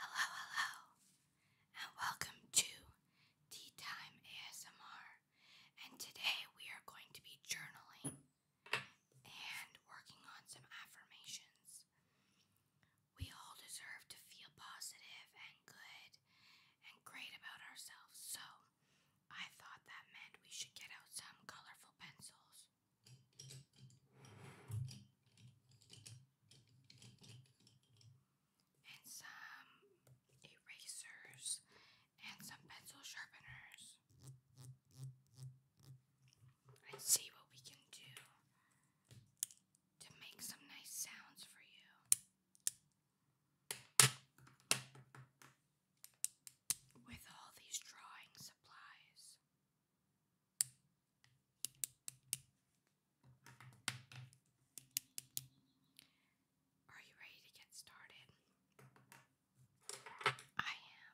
Hello, hello, and welcome to Tea Time ASMR. And today we are going to be journaling and working on some affirmations. We all deserve to feel positive and good and great about ourselves, so I thought that meant we should get out some colorful pencils. And some erasers and some pencil sharpeners. And see what we can do to make some nice sounds for you with all these drawing supplies. Are you ready to get started? I am.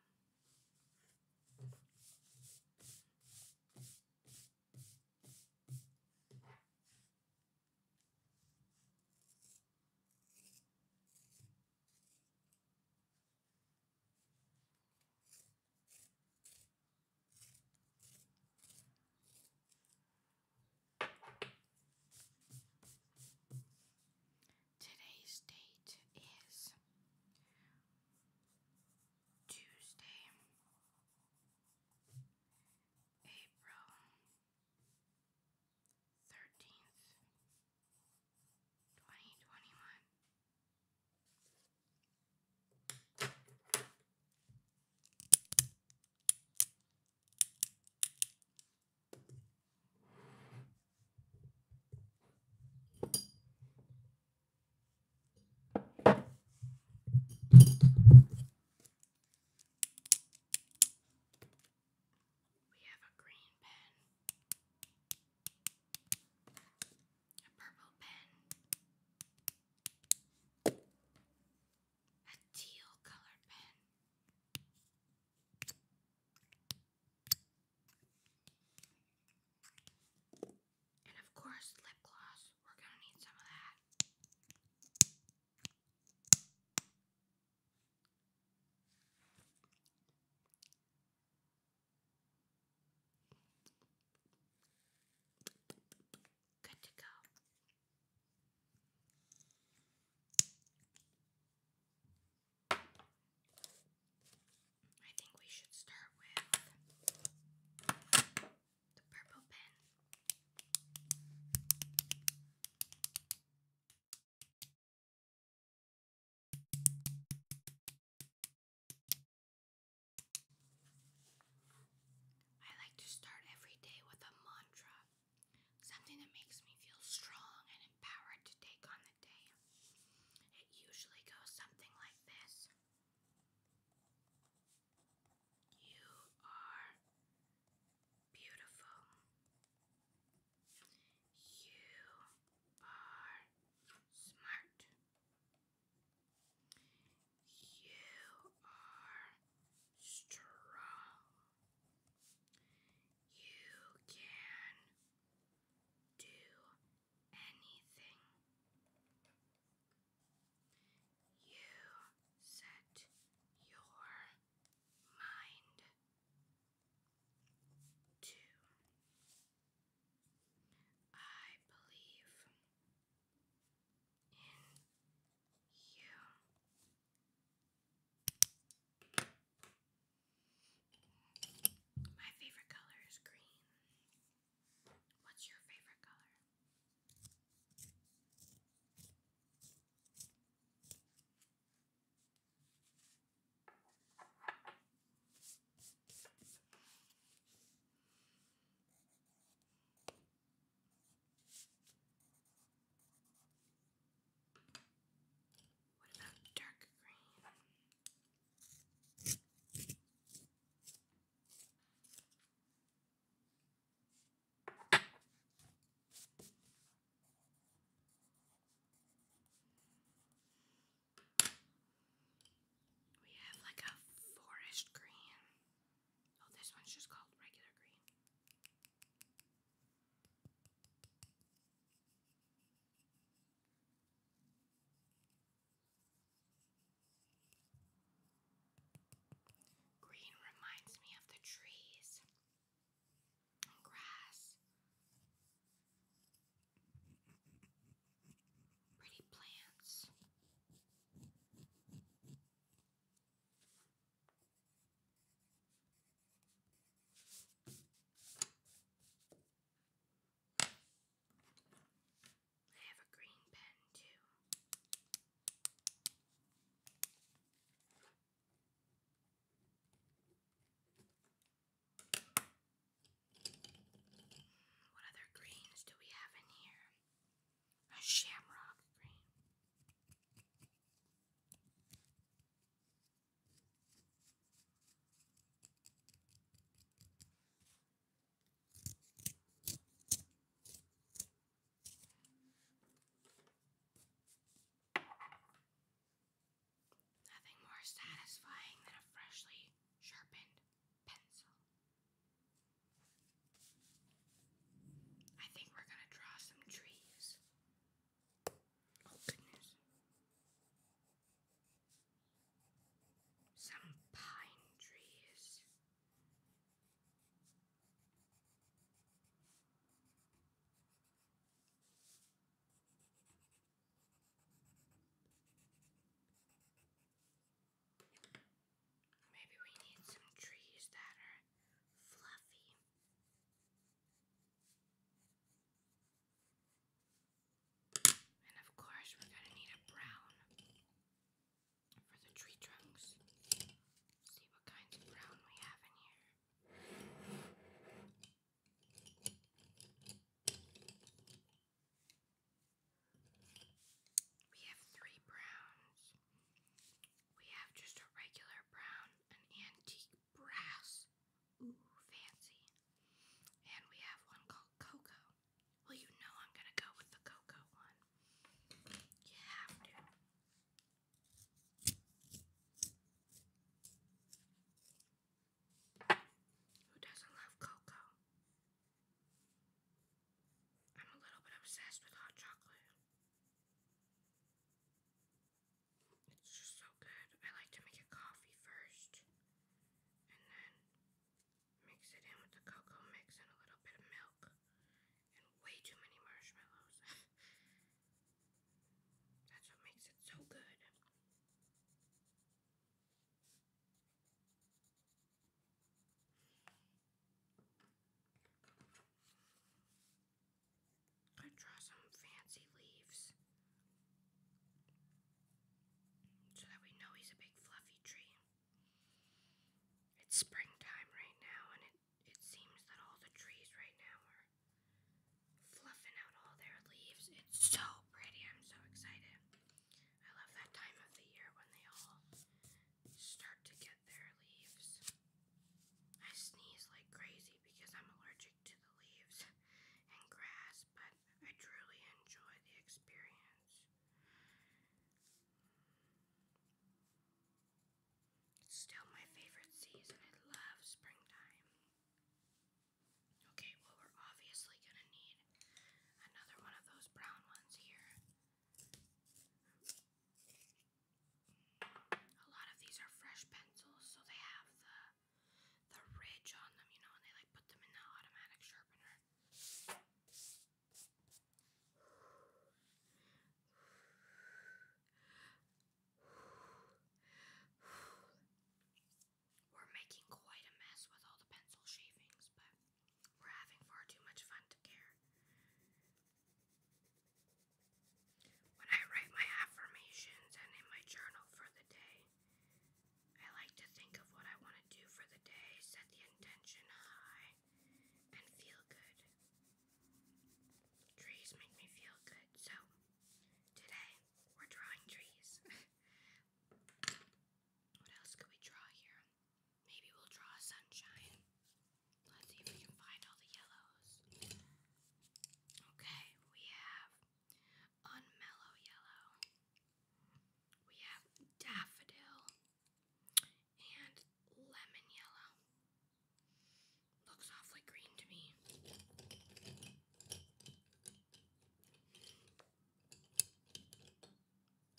Today's date is Tuesday, April 13th, 2021. We have a green pen, a purple pen, a teal colored pen. And of course, lip gloss. We're going to need some of that. Good to go. I think we should start with the purple pen. I like to start every day with a mantra, something that makes me feel strong and empowered to take on the day. It usually goes something like this You are Beautiful. You are smart. You are strong. You can do anything. You set your mind too. I believe in you. My favorite color is green. What's your favorite color? What about dark green? We have like a forest green. Oh, this one's just called regular green. Green reminds me of the trees grass, pretty plants. I have a green pen too. What other greens do we have in here? A shamrock green. Nothing more satisfying than a freshly sharpened pencil. I think we're going to draw some trees. Oh, goodness. Some pine trees. Maybe we need some trees that are fluffy. And of course, we're going to need a brown for the tree trunks. See what kinds of brown we have in here. We have three browns. We have just a regular brown, an antique brass. Ooh, fancy. And we have one called Cocoa. Well, you know I'm gonna go with the Cocoa one. You have to. Who doesn't love cocoa? I'm a little bit obsessed with hot chocolate. It's just so good. I like to make a coffee first and then mix it in with the cocoa mix and a little bit of milk and way too many marshmallows. That's what makes it so good. Could draw some fancy leaves so that we know he's a big fluffy tree. It's springtime right now and it it seems that all the trees right now are fluffing out all their leaves. It's so pretty. I'm so excited. I love that time of the year when they all start to get their leaves. I sneeze like crazy because I'm allergic to the leaves and grass, but I truly enjoy the experience. It's still my favorite season. I love springtime. Okay, well, we're obviously gonna need another one of those brown ones here. A lot of these are fresh pencils, so they have the the ridge on them, you know, and they like put them in the automatic sharpener. We're making quite a mess with all the pencil shavings, but we're having far too much fun to care. When I write my affirmations and in my journal for the day, I like to think of what I want to do for the day, set the intention high, and feel good. Trees make me feel good, so today we're drawing trees. what else could we draw here? Maybe we'll draw sunshine. Let's see if we can find all the yellows. Okay, we have unmellow yellow. We have daffodil and lemon yellow. Looks awfully green to me.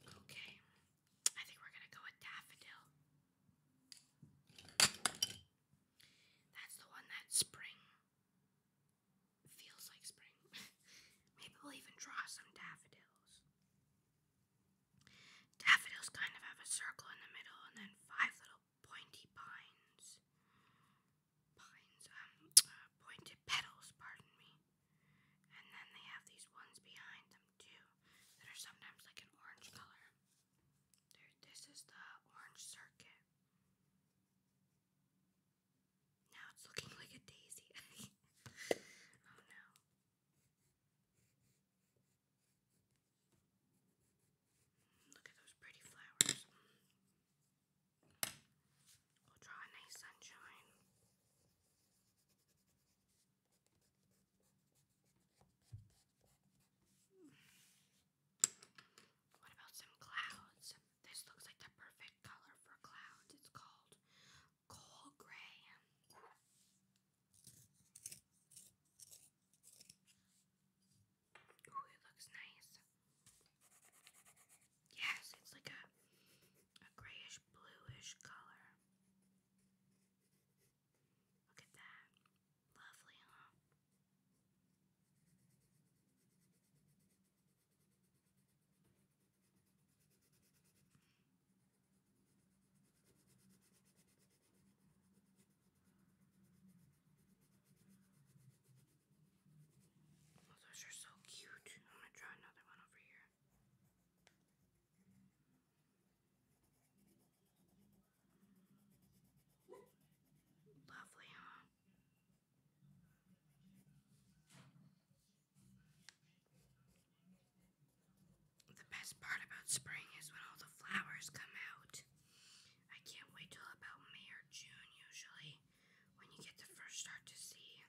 Okay, I think we're gonna go with daffodil. That's the one that spring feels like spring. Maybe we'll even draw some daffodils. Daffodils kind of have a circle in the middle and then five little pointy pines. Pines, um, uh, pointed petals, pardon me. And then they have these ones behind them too that are sometimes like an orange color. this is the orange circuit. Now it's looking like a daisy. oh no. Look at those pretty flowers. We'll draw a nice sunshine. What about some clouds? This looks like the perfect color for clouds. It's called coal gray. Ooh, it looks nice. Yes, it's like a, a grayish bluish color. Look at that. Lovely, huh? Oh, those are so cute. I'm gonna draw another one over here. Lovely, huh? The best part about spring is when all the flowers come out. I can't wait till about May or June, usually, when you get to first start to see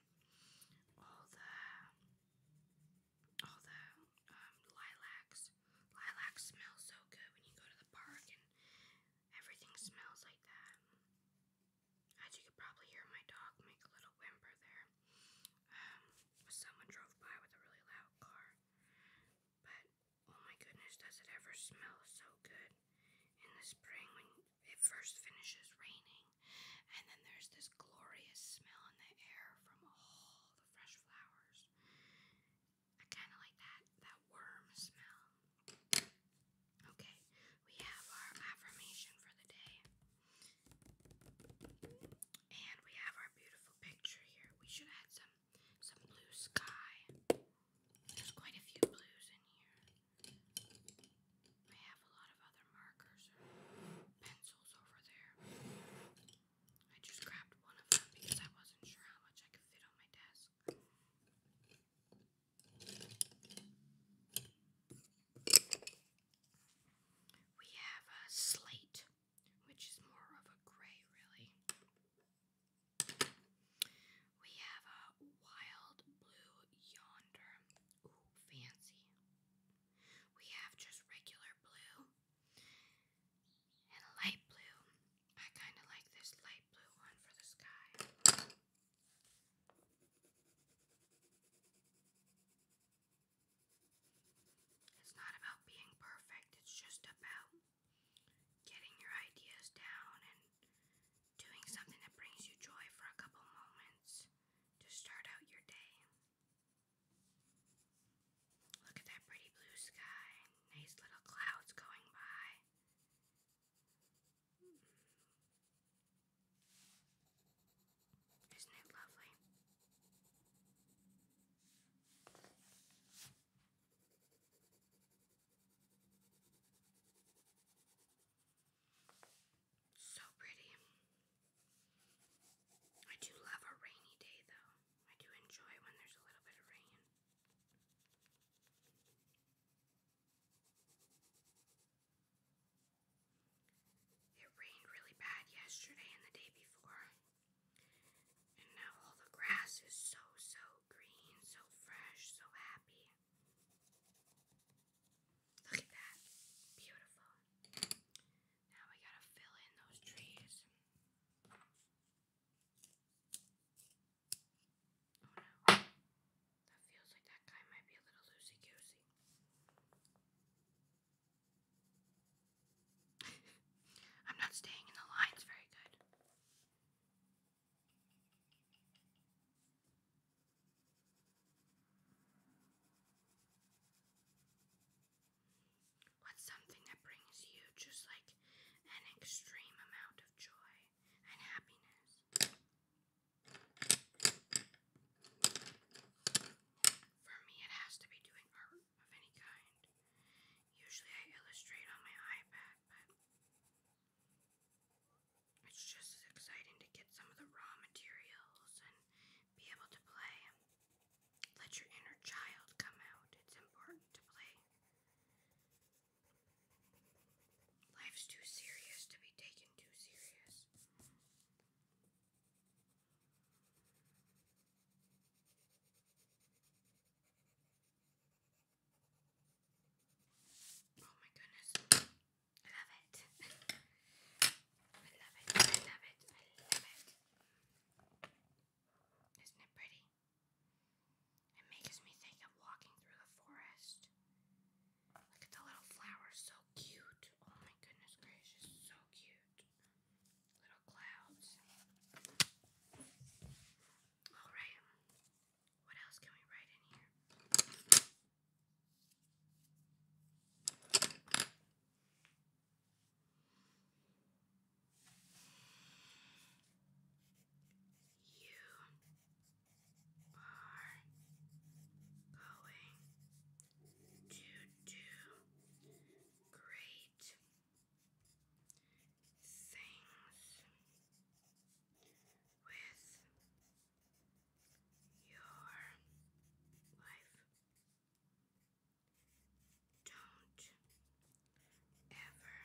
all the all the um, lilacs. Lilacs smell so good when you go to the park, and everything smells like that. As you could probably hear my dog make a little whimper there. Um, someone drove by with a really loud car. But oh my goodness, does it ever smell so good in the spring when it first finishes raining and then there's this glorious smell in the air from all the fresh flowers. I kind of like that that worm smell. Okay, we have our affirmation for the day. And we have our beautiful picture here. We should add some some blue sky. There's quite a few blues in here. I have a lot of other markers pencils over there. I just grabbed one of them because I wasn't sure how much I could fit on my desk. We have a slate which is more of a gray, really. We have a wild blue yonder. Ooh, fancy. We have just regular blue and light blue. I kind of like this light blue one for the sky. It's not about being perfect, it's just about getting your ideas down and doing something that brings you joy for a couple moments to start out your day. Look at that pretty blue sky, nice little clouds going by. Isn't it lovely? So pretty. I do love a rainy day though. I do enjoy when there's a little bit of rain. It rained really bad yesterday and the day before. And now all the grass is so, so green, so fresh, so happy. Look at that. Beautiful. Now we gotta fill in those trees. Oh no. That feels like that guy might be a little loosey goosey. I'm not staying in the lines very good. What's something that brings you just like an extreme amount of joy and happiness? For me, it has to be doing art of any kind. Usually I illustrate on my iPad, but it's just as exciting to get some of the raw materials and be able to play. Let your inner child come out. It's important to play. Life's too serious to be taken too serious. Oh my goodness. I love it. I love it. I love it. I love it. Isn't it pretty? It makes me think of walking through the forest. Look at the little flowers, so cute. Oh my goodness gracious, so cute cute little clouds. Alright, what else can we write in here? You are going to do great things with your life. Don't ever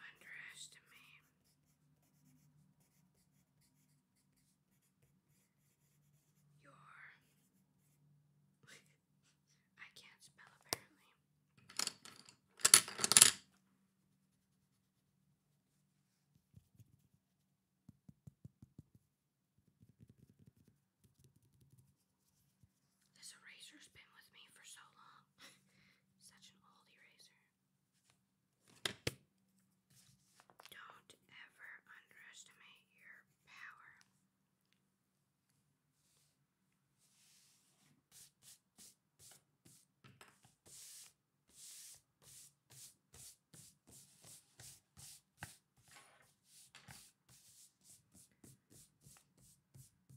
underestimate your I can't spell apparently. This eraser's been with me for so long. Such an old eraser. Don't ever underestimate your power.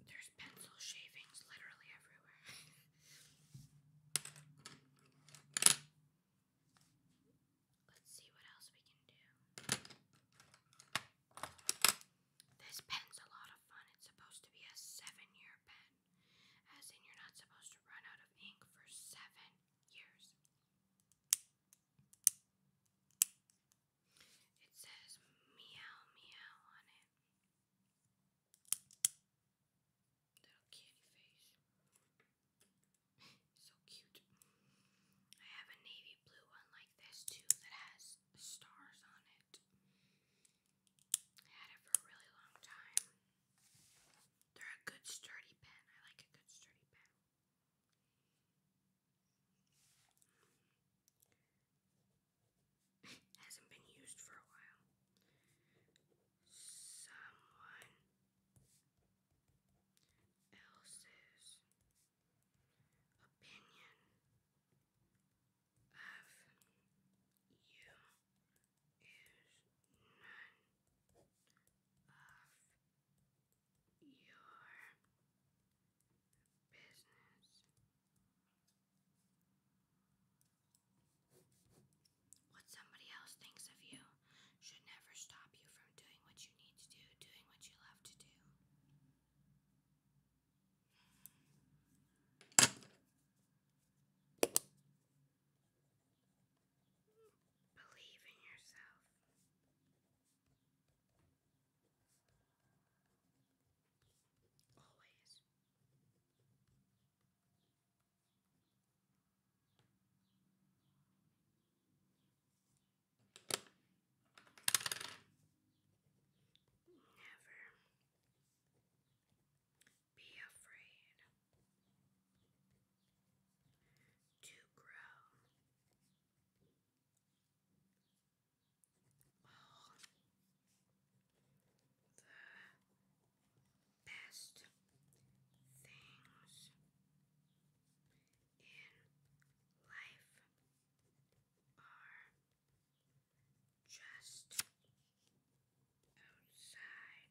There's pencil shavings literally everywhere. Let's see what else we can do. This pen's a lot of fun. It's supposed to be a seven year pen, as in, you're not supposed to run out of ink for seven years. It says meow meow on it. Little candy face. so cute. I have a navy blue one like this too that has stars on it. had it for a really long time. They're a good sturdy pen. I like a good sturdy pen. Hasn't been used for a while someone else's opinion of you is none of your business. What somebody else thinks of you should never stop you from doing what you need to do, doing what you love to do. Believe in yourself. Always. Never be afraid to grow the best things in life are just outside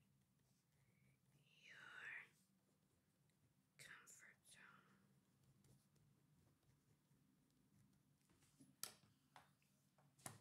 your comfort zone. You can do anything.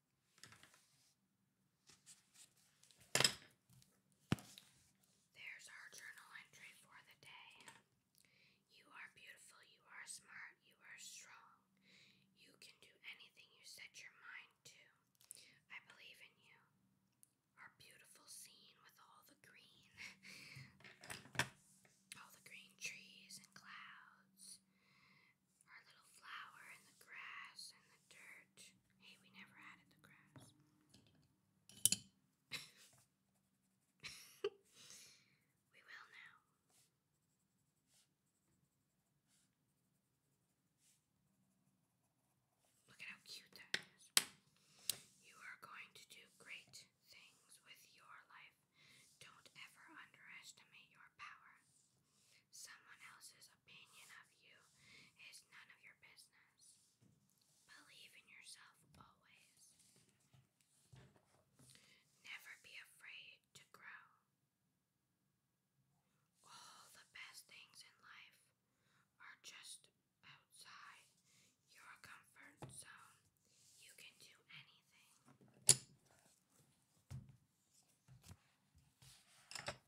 There's our journal entry for the day. You are beautiful, you are smart, you are strong. You can do anything you set your mind to. I believe in you. Our beautiful scene with all the green, all the green trees and clouds, our little flower and the grass and the dirt. Hey, we never added the grass. we will now. Look at how cute that is. You are going to do great things with your life. Don't ever underestimate your power. Someone else's opinion of you is none of your business. Believe in yourself always. Never be afraid to grow. All the best things in life are just outside your comfort zone. You can do anything.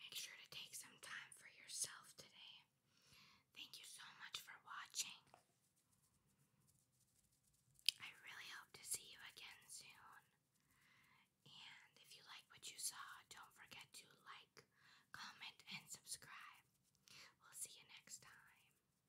Make sure to take some time for yourself today. Thank you so much for watching. I really hope to see you again soon. And if you like what you saw, don't forget to like, comment, and subscribe. We'll see you next time.